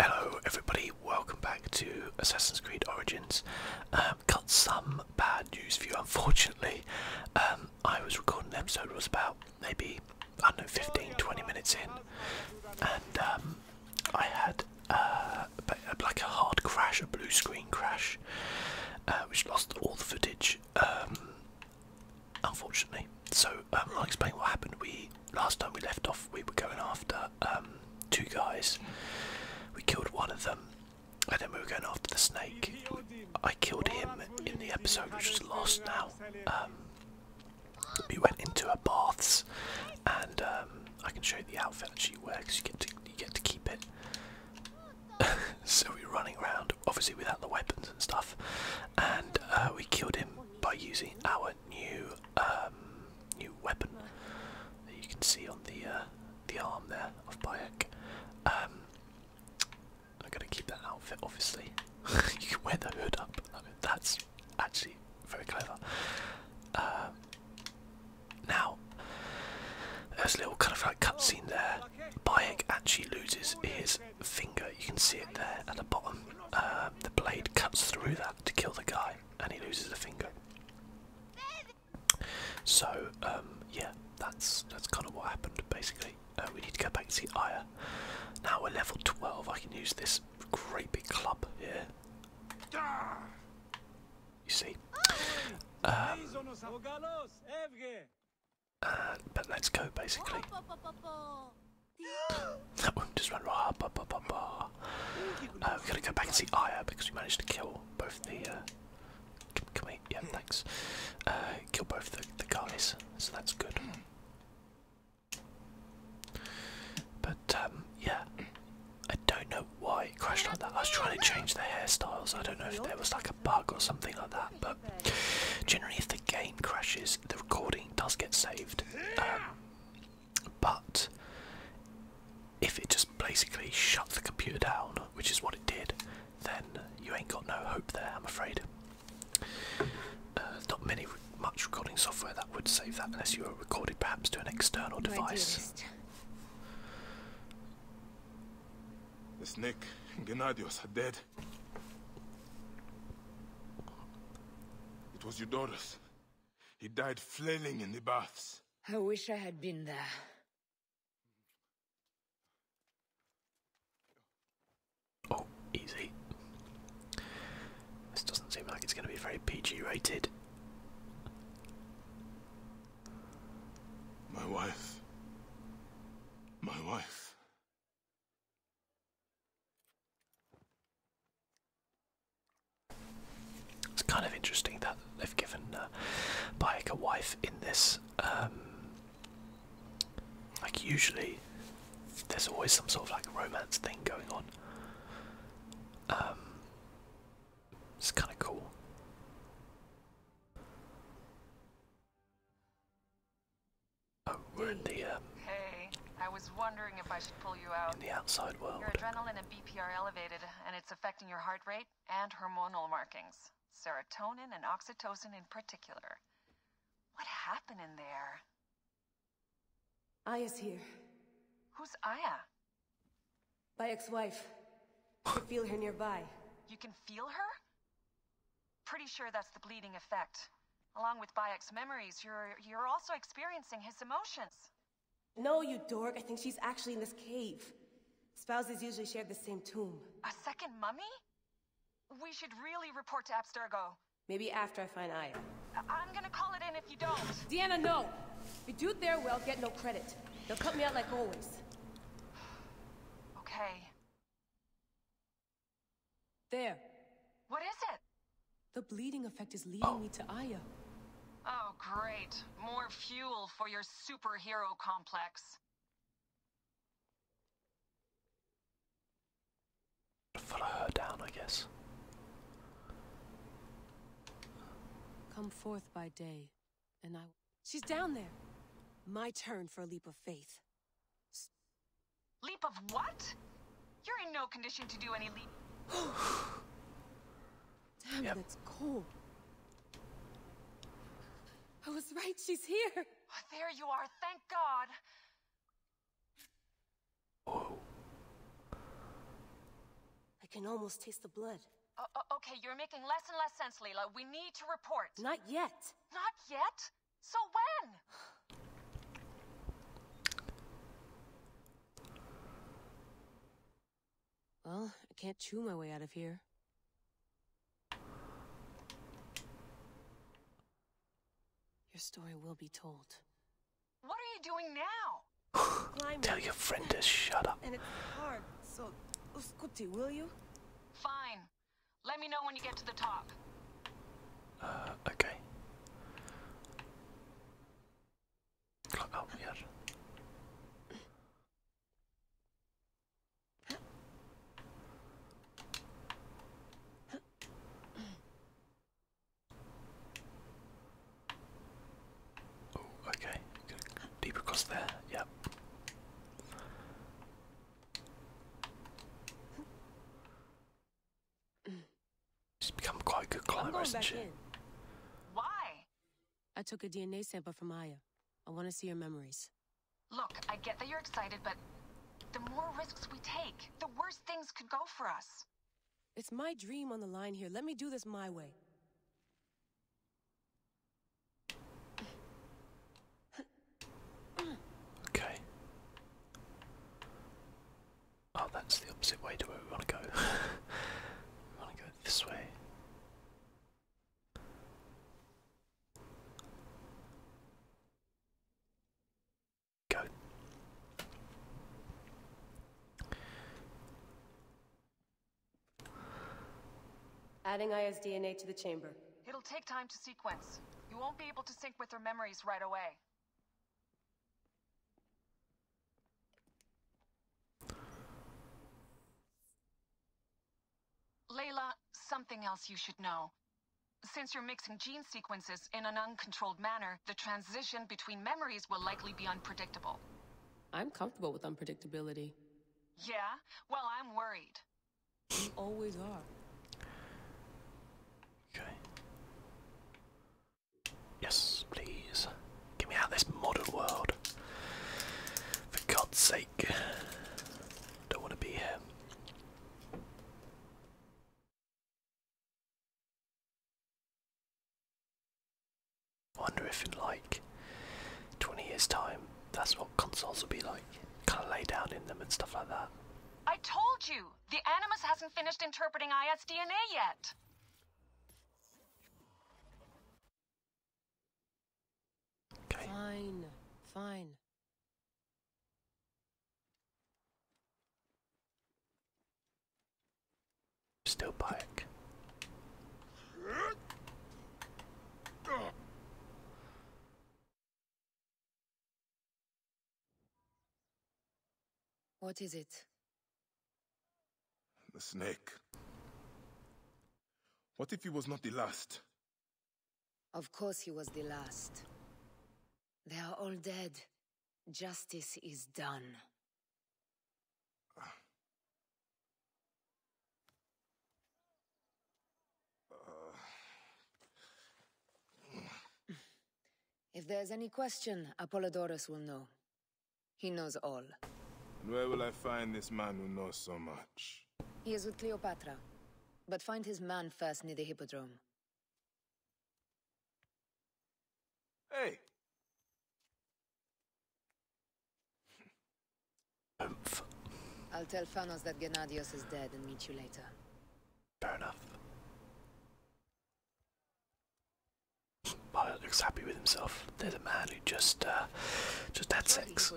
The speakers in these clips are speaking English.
Hello everybody, welcome back to Assassin's Creed Origins. Um, got some bad news for you unfortunately. Um, I was recording the episode, It was about maybe, I don't know, 15, 20 minutes in. And um, I had uh, like a hard crash, a blue screen crash, uh, which lost all the footage, um, unfortunately. So I'll explain what happened. We Last time we left off, we were going after um, two guys. We killed one of them, I think we were going after the snake. I killed him in the episode, which was lost now. Um, we went into a baths, and um, I can show you the outfit actually works. You get to you get to keep it. so we were running around, obviously without the weapons and stuff, and uh, we killed him by using our new um, new weapon that you can see on the uh, the arm there of Bayek. Um, I'm gonna keep that outfit, obviously. you can wear the hood up. that's actually very clever. Um, now, there's a little kind of like cut scene there. Bayek actually loses his finger. You can see it there at the bottom. the blade cuts through that to kill the guy and he loses a finger. So um, yeah, that's that's kind of what happened. Basically, uh, we need to go back and see Aya. Now we're level 12. I can use this great big club here. You see. Um, uh, but let's go basically. oh, just run. Rah, bah, bah, uh, gotta go back and see Aya because we managed to kill both the. Uh, yeah, thanks. Uh, kill both the, guys, so that's good. But um, yeah, I don't know why it crashed like that. I was trying to change the hairstyles. I don't know if there was like a bug or something like that. But generally, if the game crashes, the recording does get saved. Um, but if it just basically shut the computer down, which is what it did, then you ain't got no hope there, I'm afraid. Uh, not many, much recording software that would save that unless you were recorded perhaps to an external device. Dearest. The snake and Gennadios are dead. It was Eudorus. He died flailing in the baths. I wish I had been there. Oh, easy. This doesn't seem like it's going to be very PG rated. My wife. My wife. It's kind of interesting that they've given uh, Bayek a wife in this. Um, like usually, there's always some sort of like romance thing going on. Um, it's kind of cool. Oh, we're in the uh, hey, I was wondering if I should pull you out. In the outside world. Your adrenaline and BP are elevated, and it's affecting your heart rate and hormonal markings. Serotonin and oxytocin in particular. What happened in there? Aya's here. Who's Aya? My ex-wife. I can feel her nearby. You can feel her? Pretty sure that's the bleeding effect. Along with Bayek's memories, you're, you're also experiencing his emotions. No, you dork. I think she's actually in this cave. Spouses usually share the same tomb. A second mummy? We should really report to Abstergo. Maybe after I find Aya. I'm gonna call it in if you don't. Deanna, no! If you do their well, get no credit. They'll cut me out like always. okay. There. What is it? The bleeding effect is leading oh. me to Aya. Oh, great. More fuel for your superhero complex. Follow her down, I guess. Come forth by day, and I... She's down there! My turn for a leap of faith. Leap of what? You're in no condition to do any le- Damn, yep. that's cold. I was right, she's here. Oh, there you are, thank God. I can almost taste the blood. Uh, uh, okay, you're making less and less sense, Leela. We need to report. Not yet. Not yet? So when? Well, I can't chew my way out of here. Your story will be told. What are you doing now? Tell your friend to shut up. And it's hard, so Uskuti, will you? Fine. Let me know when you get to the top. Uh, okay. Klockan ner. Oh, okay. Deep across there. Yep. She's become quite a good climber, isn't she? Why? I took a DNA sample from Aya. I want to see her memories. Look, I get that you're excited, but the more risks we take, the worse things could go for us. It's my dream on the line here. Let me do this my way. Okay. Oh, that's the opposite way to where we want to go. we want to go this way. Go. Adding Aya's DNA to the chamber. It'll take time to sequence. You won't be able to sync with their memories right away. Layla, something else you should know. Since you're mixing gene sequences in an uncontrolled manner, the transition between memories will likely be unpredictable. I'm comfortable with unpredictability. Yeah? Well, I'm worried. You always are. Okay. Yes, please. Get me out of this modern world. For God's sake. Don't want to be here. Wonder if in like 20 years time, that's what consoles will be like. Kind of lay down in them and stuff like that. I told you! The Animus hasn't finished interpreting IS DNA yet! Fine, fine. Still bike. What is it? The snake. What if he was not the last? Of course he was the last. They are all dead. Justice is done. Uh. If there's any question, Apollodorus will know. He knows all. And where will I find this man who knows so much? He is with Cleopatra. But find his man first near the Hippodrome. Hey! Oomph. I'll tell Phanos that Gennadios is dead and meet you later. Fair enough. Pilot looks happy with himself. There's a man who just uh, just had sex.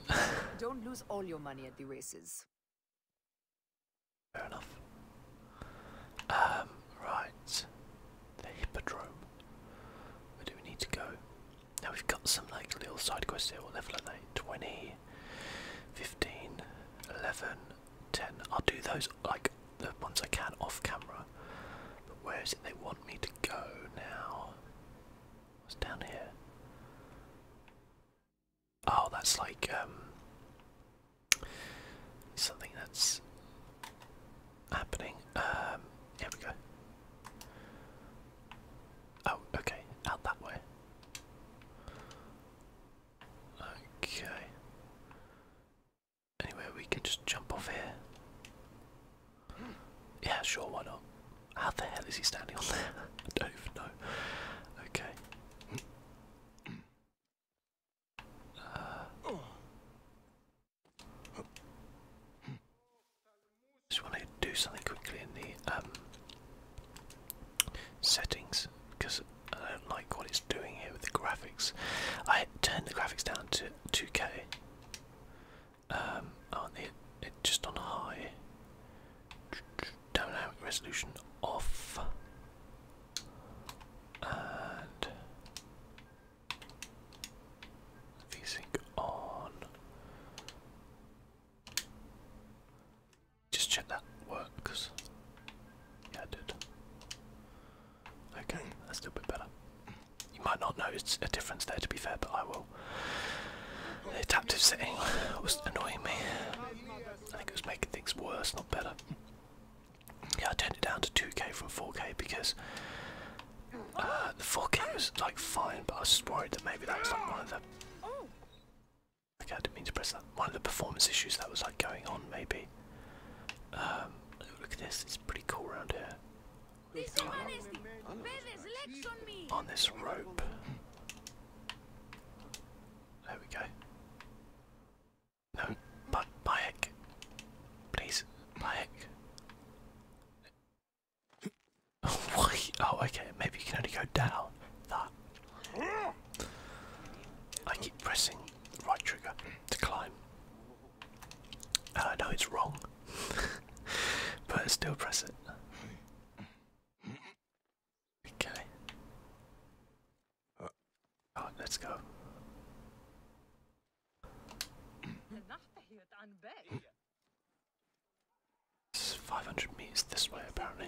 Don't lose all your money at the races. Fair enough. Um, right. The hippodrome. Where do we need to go? Now we've got some like little side quests here. level 20, 15, 11, 10. I'll do those like the ones I can off camera. But where is it they want me to go now? What's down here? Oh, that's like um something that's happening. Um, here we go. Oh, okay, out that way. Okay. Anyway, we can just jump off here. Yeah, sure, why not? How the hell is he standing on there? I don't even know. Okay. Uh, just want to do something quickly in the um, settings because I don't like what it's doing here with the graphics. Turn the graphics down to 2K. Um, it, just on high. Dynamic resolution off. And VSync on. Just check that works. Yeah, did. Okay, that's a little bit better. You might not notice a difference there, to be fair, but I will. The adaptive setting was annoying me. I think it was making things worse, not better. Yeah, I turned it down to 2K from 4K because uh, the 4K was like fine, but I was just worried that maybe that was like one of the. Okay, I didn't mean to press that. One of the performance issues that was like going on, maybe. Um, look at this, it's pretty cool around here on this rope. There we go. No, but Bayek. Please, Bayek. oh, okay, maybe you can only go down. That. I keep pressing right trigger to climb. I uh, know it's wrong. but still press it. Okay. Oh, let's go. It's 500 meters this way, apparently.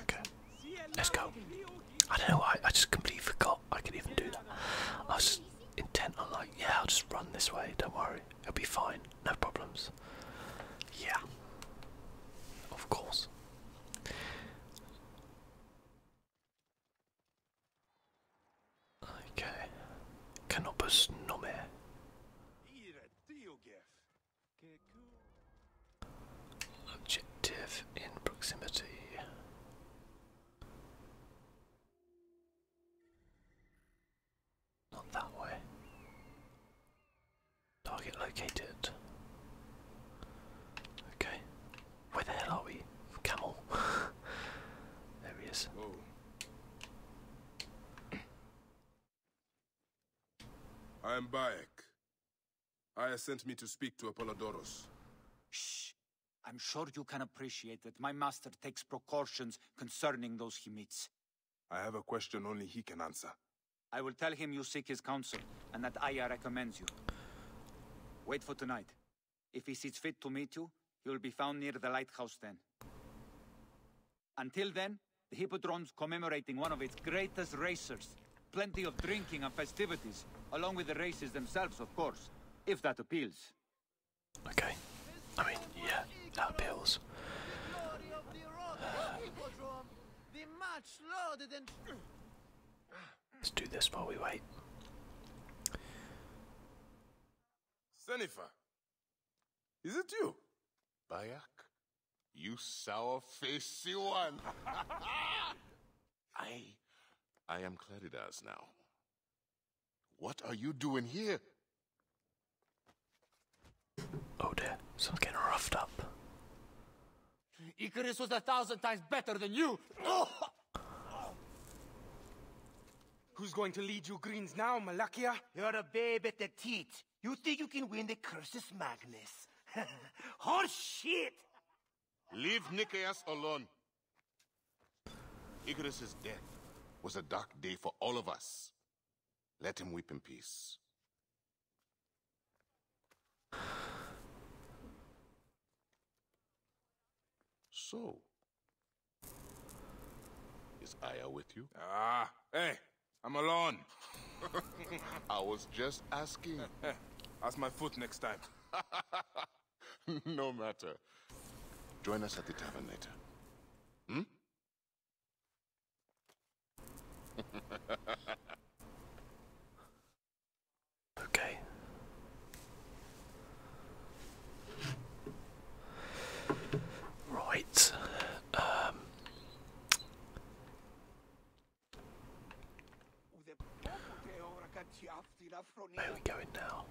Okay, let's go. I don't know why, I just completely forgot I could even do that. I was just intent on like, yeah, I'll just run this way, don't worry. It'll be fine, no problems. Yeah, of course. Okay, Canopus Nome. Objective in proximity. Not that way. Target located. Okay. Where the hell are we? Camel. there he is. Whoa. I'm Bayek. Aya sent me to speak to Apollodorus. Shh. I'm sure you can appreciate that my master takes precautions concerning those he meets. I have a question only he can answer. I will tell him you seek his counsel, and that Aya recommends you. Wait for tonight. If he sees fit to meet you, he will be found near the lighthouse then. Until then, the Hippodrome's commemorating one of its greatest racers, Plenty of drinking and festivities, along with the races themselves, of course, if that appeals. Okay. I mean, yeah, that appeals. Let's do this while we wait. Senifa, is it you? Bayak? You sour faced one! I. I am Claridas now. What are you doing here? Oh dear, someone's getting roughed up. Icarus was a thousand times better than you! Who's going to lead you greens now, Malakia? You're a babe at the teat. You think you can win the curses, Magnus? Yes. shit. Leave Nikias alone. Icarus's death was a dark day for all of us. Let him weep in peace. So, is Aya with you? Ah, hey, I'm alone. I was just asking. Ask my foot next time. no matter. Join us at the tavern later. Hmm? okay. Right. Um where are we going now?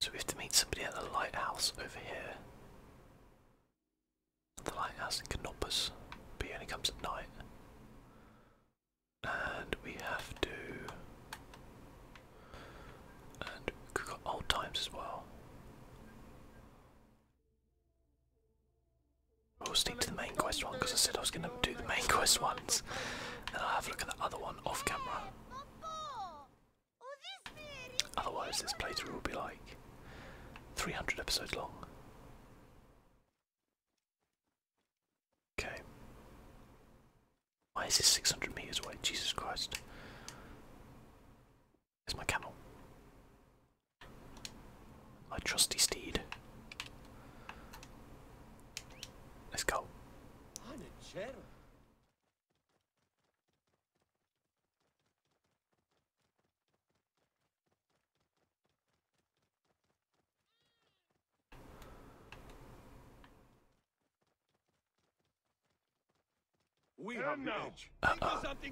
So we have to meet somebody at the lighthouse over here. The lighthouse in Canopus, but he only comes at night. And we have to. And we've got old times as well. We'll stick to the main quest one because I said I was going to do the main quest ones. Then I'll have a look at the other one off camera. Otherwise, this playthrough will be like 300 episodes long. Okay. Why is this 600 meters away? Jesus Christ. There's my camel. My trusty steed. Let's go. We have now. Uh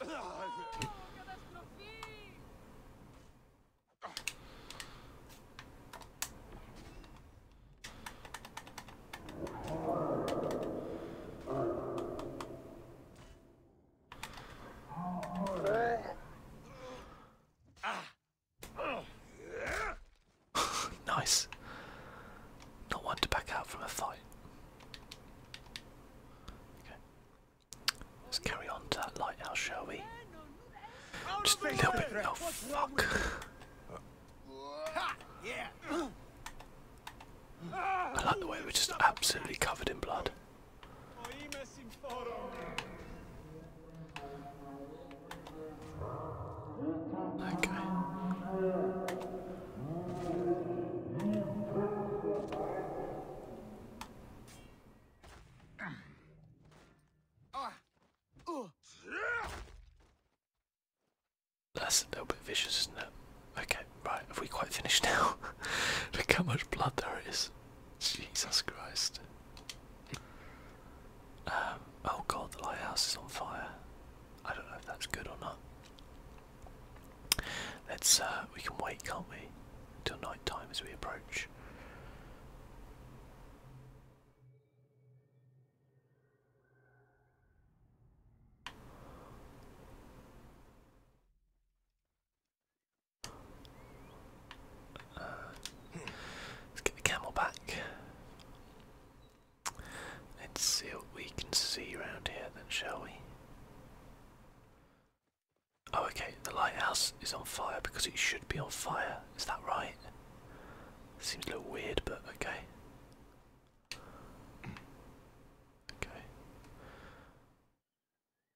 nice. Not one to back out from a fight. Let's carry on to that lighthouse, shall we? Just a little bit. Oh fuck! I like the way we're just absolutely covered in blood. Okay. That's a little bit vicious, isn't it? Okay, right, have we quite finished now? Look how much blood there is. Jesus Christ. Um, oh god, the lighthouse is on fire. I don't know if that's good or not. Let's uh, we can wait, can't we? Till night time as we approach. Uh, let's get the camel back. Let's see what we can see around here then, shall we? Oh, okay, the lighthouse is on fire because it should be on fire. Is that right? Seems a little weird, but okay. Okay.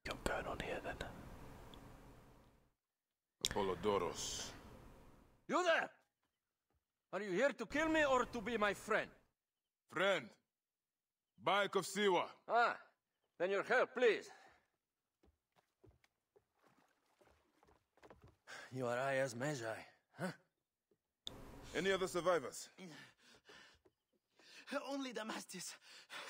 Got going on here then. Apollodoros. You there! Are you here to kill me or to be my friend? Friend, bike of Siwa. Ah, then your help, please. You are Ias Mejai, huh? Any other survivors? Only Damastis.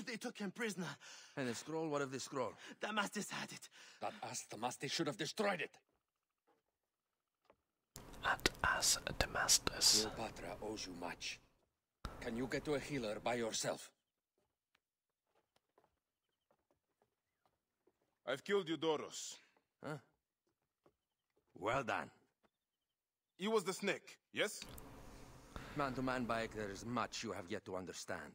They took him prisoner. And the scroll? What of the scroll? Damastis had it. That ass Damastis should have destroyed it. That ass Damastis. Cleopatra owes you much. Can you get to a healer by yourself? I've killed Eudoros. Huh? Well done. He was the snake, yes? Man-to-man, -man, Baek, there is much you have yet to understand.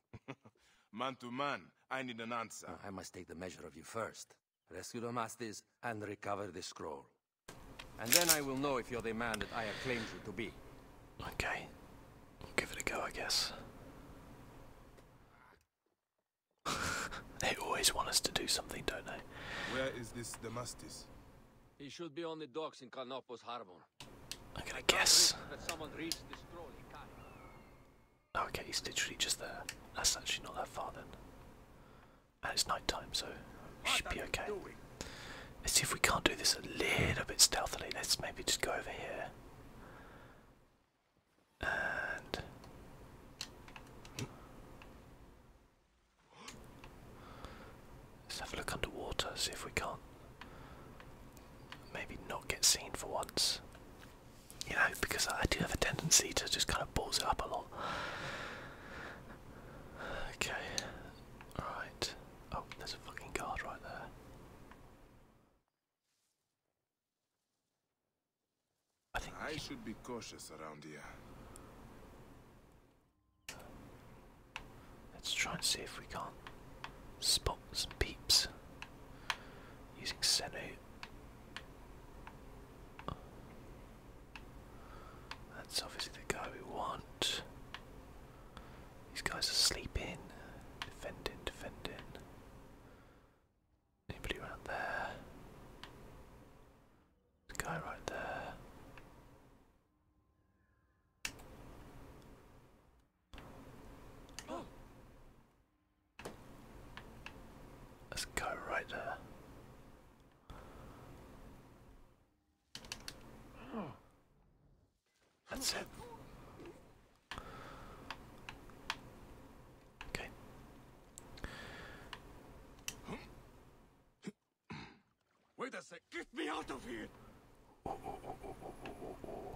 Man-to-man, I need an answer. I must take the measure of you first. Rescue Damastes and recover the scroll. And then I will know if you're the man that I have claimed you to be. Okay. I'll give it a go, I guess. they always want us to do something, don't they? Where is this Damastis? He should be on the docks in Kanopus Harbor. I'm gonna guess. Oh, okay, he's literally just there. That's actually not that far then and it's night time, so we should be okay. Let's see if we can't do this a little bit stealthily. Let's maybe just go over here. And let's have a look underwater, see if we can't maybe not get seen for once. You know, because I do have a tendency to just kind of balls it up a lot. Okay, Right. Oh, there's a fucking guard right there. I think I should be cautious around here. Let's try and see if we can't spot some peeps using Senu. That's obviously the guy we want. These guys are sleeping. Defending, defending. Anybody around there? There's guy right there. Oh. Let's right there. That's it. Okay. Wait a sec. Get me out of here. Oh, oh, oh, oh, oh, oh, oh.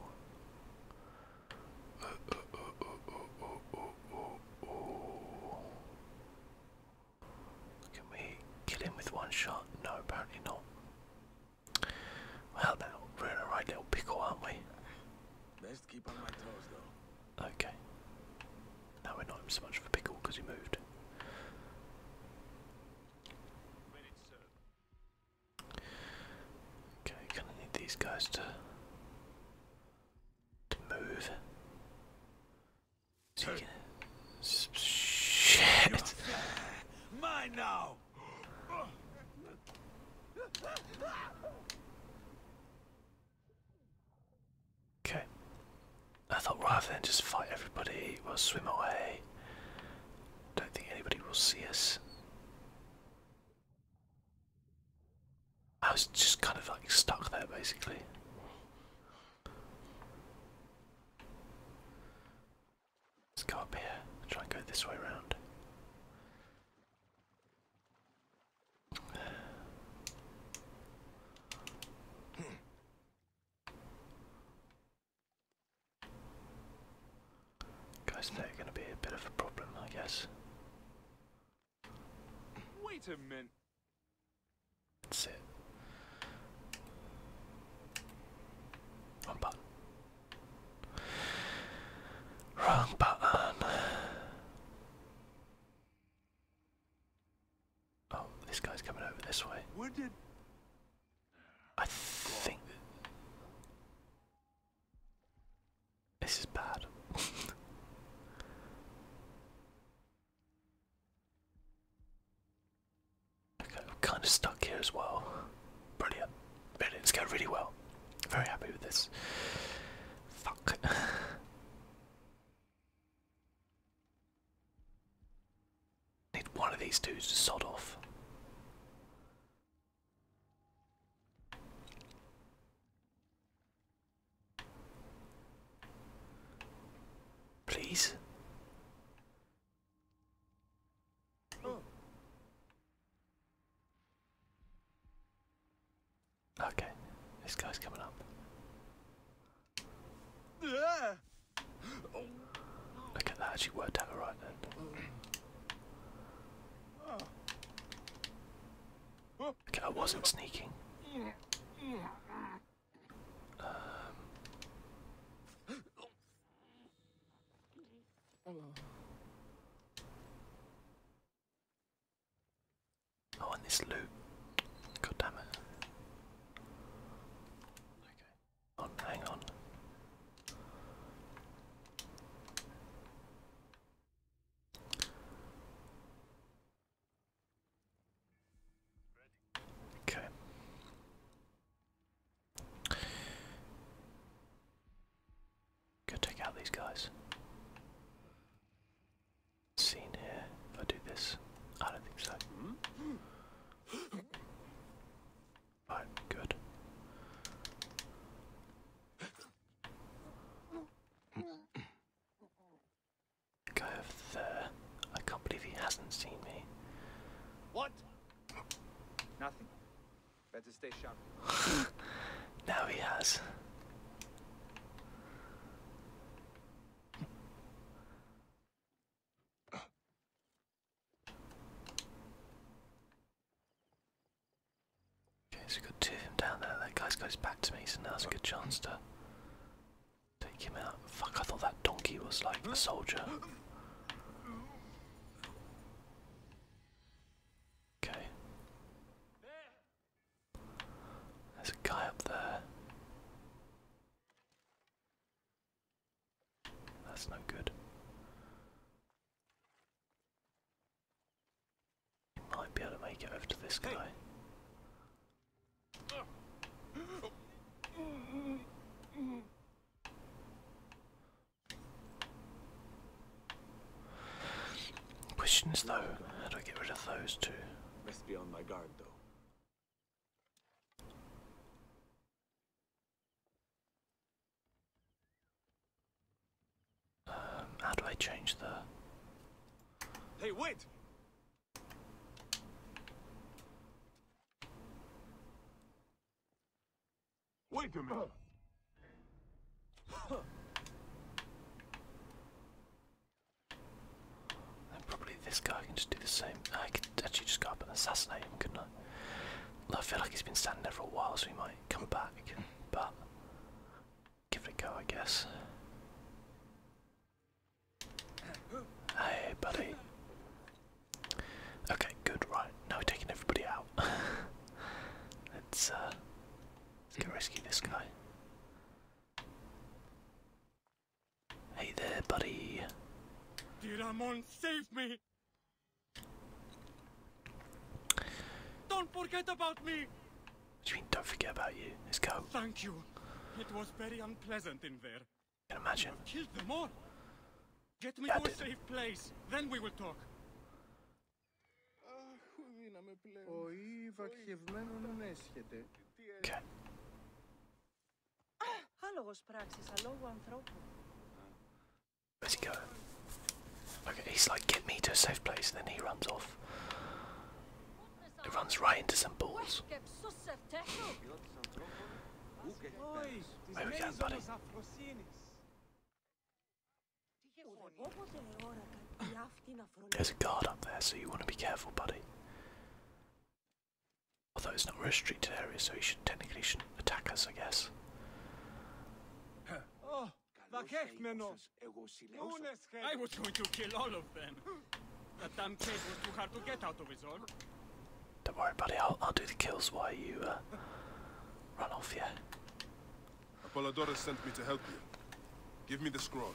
Uh, uh, uh, uh, uh, uh, uh, uh, oh. Can we kill him with one shot? No, apparently not. Well now, we're in a right little pickle, aren't we? Okay. Now we're not so much of a pickle because he moved. Okay, gonna need these guys to to move. Shit. Okay. I thought rather than just fight everybody, we'll swim away. Don't think anybody will see us. I was just kind of like stuck there basically. Let's go up here and try and go this way around, Guys, they're going to be a bit of a problem, I guess. Wait a minute. That's it. Wrong button. Wrong button. Oh, this guy's coming over this way. I think this is bad. kind of stuck here as well. Brilliant. Brilliant. It's going really well. Very happy with this. Fuck. Need one of these dudes to sod off. Please. Oh. Okay, this guy's coming up. Okay, that actually worked out alright then. Okay, I wasn't sneaking. Um, oh, and this loot. God Okay. hang on. Okay. Go take out these guys. Seen here. If I do this, I don't think so. Right, good. Go over there. I can't believe he hasn't seen me. What? Nothing. Better stay sharp. now he has. Okay, so we got two of them down there. That guy goes back to me, so now's a good chance to Take him out. Fuck, I thought that donkey was like a soldier. Okay. There's a guy up there. That's no good. might be able to make it over this guy. Questions, though, how do I get rid of those two? Must be on my guard though. Um, how do I change the... Hey, wait! Wait a minute. And probably this guy can just do the same. I could actually just go up and assassinate him, couldn't I? I feel like he's been standing there for a while, so we might come back. But give it a go, I guess. Hey, buddy. Okay, good. Right now we're taking everybody out. let's uh, let's go rescue this guy. Hey there, buddy. Diramon, save me! Don't forget about me! What do don't forget about you? Let's go. Thank you. It was very unpleasant in there can imagine. killed them all. Get me to a safe place, then we will talk. Okay. Where's he going? Okay, he's like, get me to a safe place, then he runs off. It runs right into some balls. There's a guard up there, so you want to be careful, buddy. Although it's not a restricted area, so he should technically shouldn't attack us, I guess. I was going to kill all of them. That damn cave was too hard to get out of his own. Don't worry, buddy. I'll I'll do the kills while you uh, run off. Yeah. Apollodorus sent me to help you. Give me the scroll.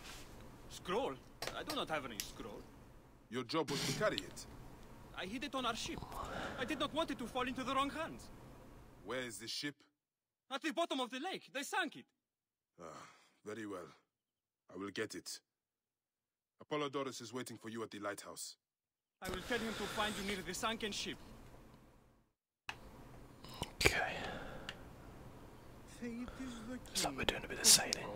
Scroll? I do not have any scroll. Your job was to carry it. I hid it on our ship. I did not want it to fall into the wrong hands. Where is the ship? At the bottom of the lake. They sank it. Ah, very well. I will get it. Apollodorus is waiting for you at the lighthouse. I will tell him to find you near the sunken ship. Okay. Looks like we're doing a bit of sailing.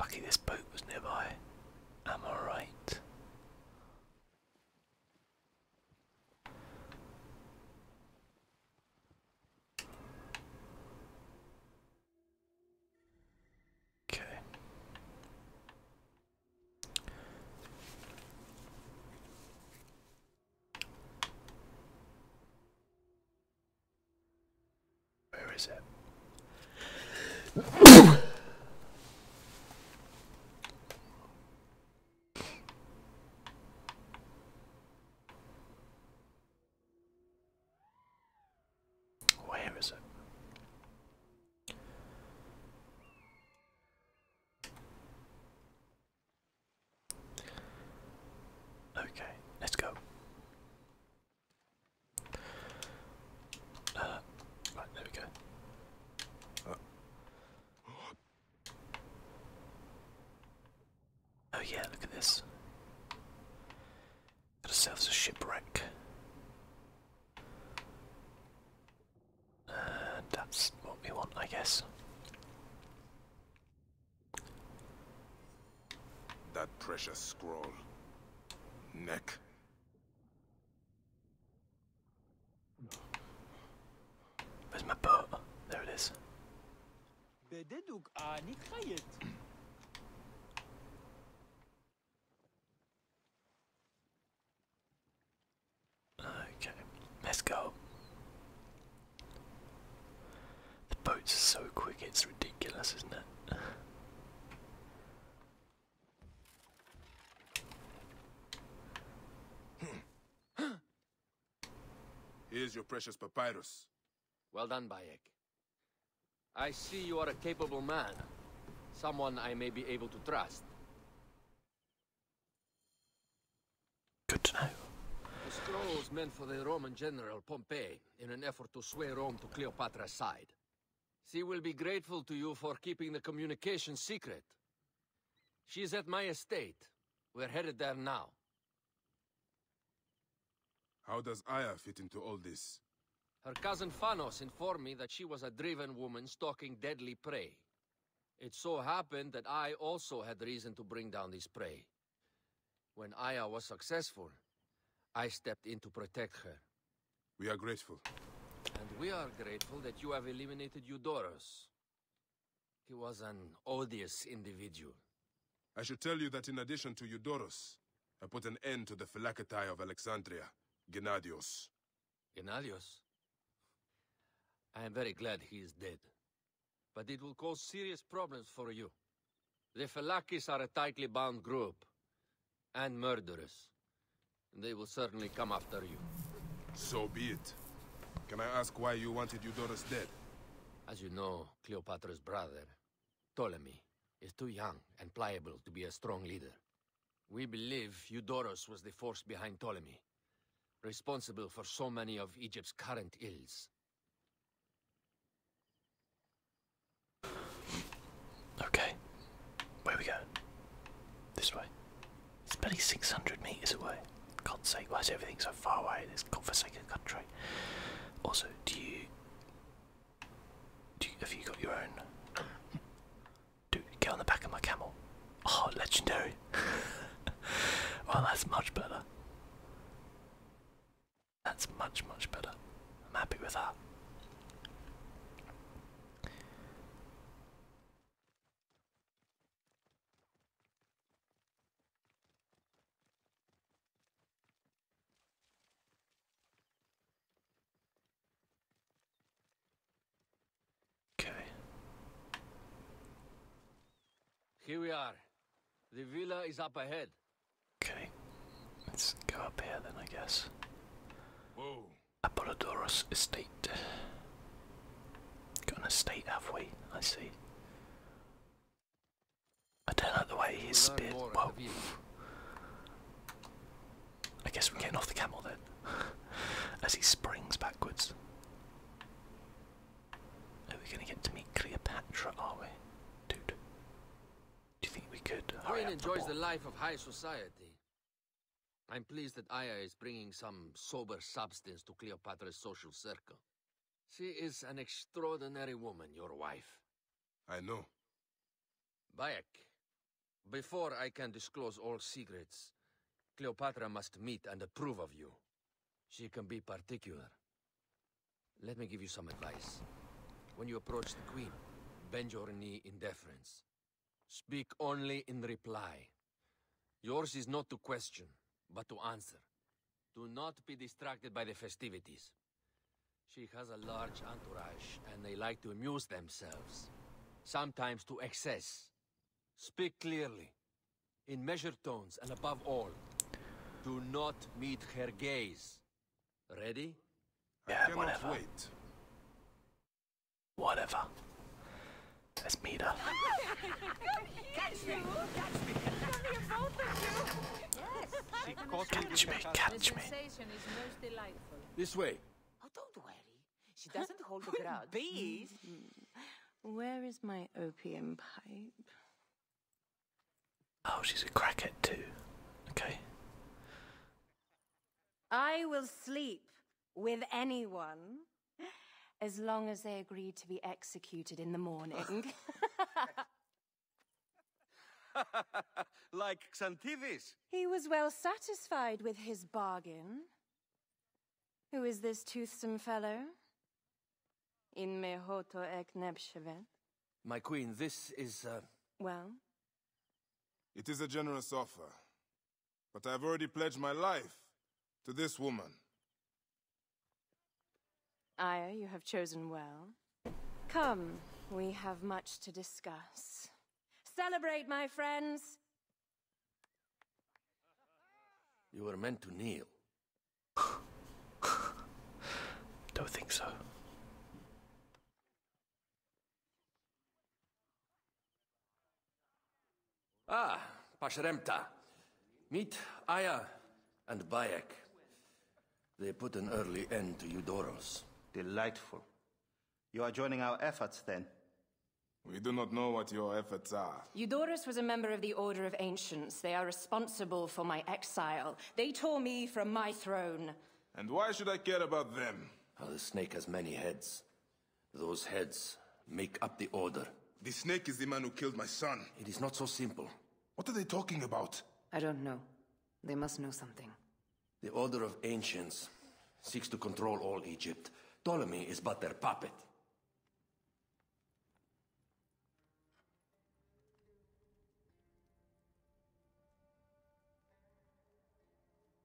Lucky this boat was nearby. Am I right? Okay. Where is it? Where is it? Okay, let's go. Uh, right, there we go. Oh yeah, look at this. Got ourselves a shipwreck. Uh, that's what we want, I guess. That precious scroll. Neck. Where's my boat? There it is. Okay, let's go. The boats are so quick, it's ridiculous, isn't it? Hmm. Here's your precious papyrus. Well done, Bayek. I see you are a capable man. Someone I may be able to trust. Good to know. The was meant for the Roman general Pompey in an effort to sway Rome to Cleopatra's side. She will be grateful to you for keeping the communication secret. She's at my estate. We're headed there now. How does Aya fit into all this? Her cousin Phanos informed me that she was a driven woman stalking deadly prey. It so happened that I also had reason to bring down this prey. When Aya was successful, I stepped in to protect her. We are grateful. And we are grateful that you have eliminated Eudorus. He was an odious individual. I should tell you that in addition to Eudorus, I put an end to the Philakatai of Alexandria, Gennadios. Gennadios? I am very glad he is dead. But it will cause serious problems for you. The Philakis are a tightly bound group. And murderous. They will certainly come after you. So be it. Can I ask why you wanted Eudorus dead? As you know, Cleopatra's brother Ptolemy is too young and pliable to be a strong leader. We believe Eudorus was the force behind Ptolemy, responsible for so many of Egypt's current ills. Okay, where we going? This way. It's barely 600 meters away. God's sake, why is everything so far away in this godforsaken country? Also, do you, do you have you got your own? Do get on the back of my camel. Oh, legendary! well, that's much better. That's much much better. I'm happy with that. Okay. Here we are. The villa is up ahead. Okay. Let's go up here then, I guess. Apollodorus Estate. Got an estate we? I see. I don't like the way he is speared. Whoa. I guess we're getting off the camel then. As he springs backwards. Are we gonna get to meet Cleopatra, are we? Dude. Do you think we could? Queen enjoys the life of high society. I'm pleased that Aya is bringing some sober substance to Cleopatra's social circle. She is an extraordinary woman, your wife. I know. Bayek, before I can disclose all secrets, Cleopatra must meet and approve of you. She can be particular. Let me give you some advice. When you approach the Queen, bend your knee in deference. Speak only in reply. Yours is not to question, but to answer. Do not be distracted by the festivities. She has a large entourage, and they like to amuse themselves. Sometimes to excess. Speak clearly. In measured tones, and above all, do not meet her gaze. Ready? Yeah, whatever. Wait. Whatever. Let's meet her. Catch me! Catch me, catch me. This way. Oh, don't worry. She doesn't hold a grudge. Bees? Mm-hmm. Where is my opium pipe? Oh, she's a crackhead too. Okay. I will sleep with anyone as long as they agree to be executed in the morning. like Xantivis. He was well satisfied with his bargain. Who is this toothsome fellow? In mehoto ek nebshevet. My queen, this is, uh... Well? It is a generous offer. But I've already pledged my life to this woman. Aya, you have chosen well. Come, we have much to discuss. Celebrate, my friends! You were meant to kneel. Don't think so. Ah, Pashremta. Meet Aya and Bayek. They put an early end to Eudorus. Delightful. You are joining our efforts, then? We do not know what your efforts are. Eudorus was a member of the Order of Ancients. They are responsible for my exile. They tore me from my throne. And why should I care about them? the snake has many heads. Those heads make up the Order. The snake is the man who killed my son. It is not so simple. What are they talking about? I don't know. They must know something. The Order of Ancients seeks to control all Egypt. Ptolemy is but their puppet.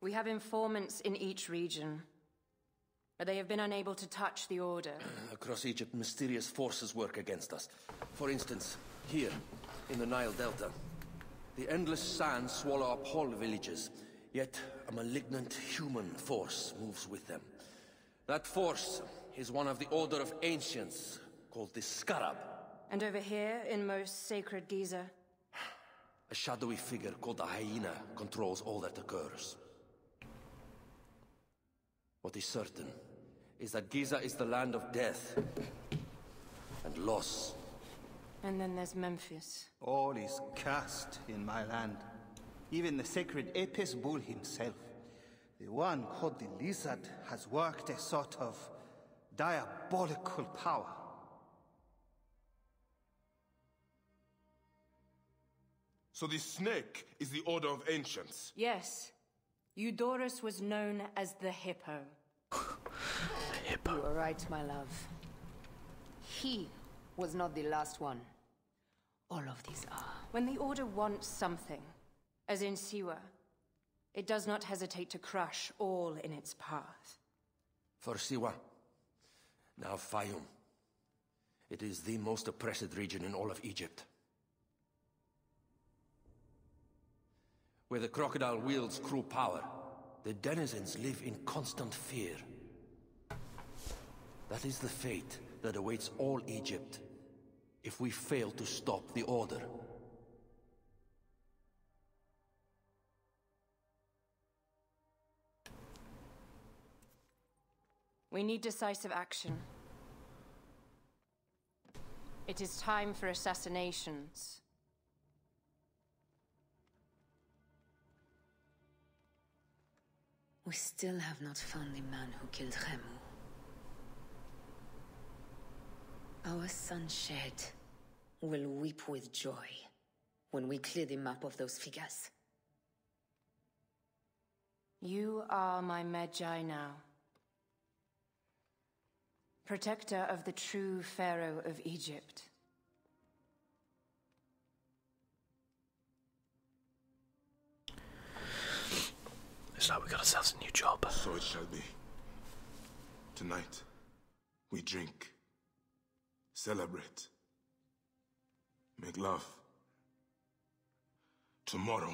We have informants in each region, but they have been unable to touch the Order. Across Egypt, mysterious forces work against us. For instance, here, in the Nile Delta, the endless sands swallow up whole villages, yet a malignant human force moves with them. That force is one of the Order of Ancients, called the Scarab. And over here, in most sacred Giza? A shadowy figure called the Hyena controls all that occurs. What is certain is that Giza is the land of death and loss. And then there's Memphis. All is cursed in my land. Even the sacred Apis bull himself, the one called the Lizard, has worked a sort of diabolical power. So the snake is the Order of Ancients? Yes. Eudorus was known as the Hippo. You are right, my love. He was not the last one. All of these are. When the Order wants something, as in Siwa, it does not hesitate to crush all in its path. For Siwa, now Fayum. It is the most oppressed region in all of Egypt. Where the crocodile wields cruel power, the denizens live in constant fear. That is the fate that awaits all Egypt, if we fail to stop the Order. We need decisive action. It is time for assassinations. We still have not found the man who killed Remu. Our sunshade will weep with joy when we clear the map of those figures. You are my Magi now protector of the true Pharaoh of Egypt. It's like we got ourselves a new job. So it shall be. Tonight, we drink, celebrate, make love. Tomorrow,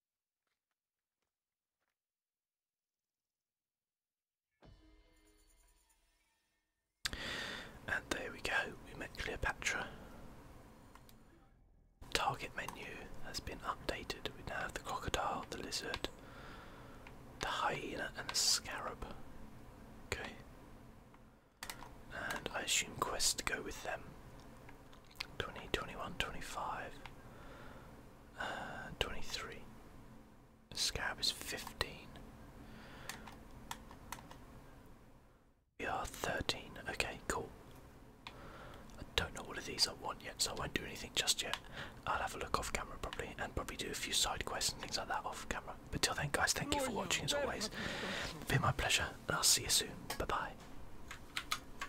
And there we go, we met Cleopatra. Target menu has been updated. We now have the crocodile, the lizard, the hyena, and the scarab. Okay. And I assume quests to go with them. 20, 21, 25, uh, 23. The scab is 15. We are 13. Okay, cool. I don't know what of these I want yet, so I won't do anything just yet. I'll have a look off camera probably and probably do a few side quests and things like that off camera. But till then, guys, thank you for oh, watching as always. It's been my pleasure, and I'll see you soon. Bye bye.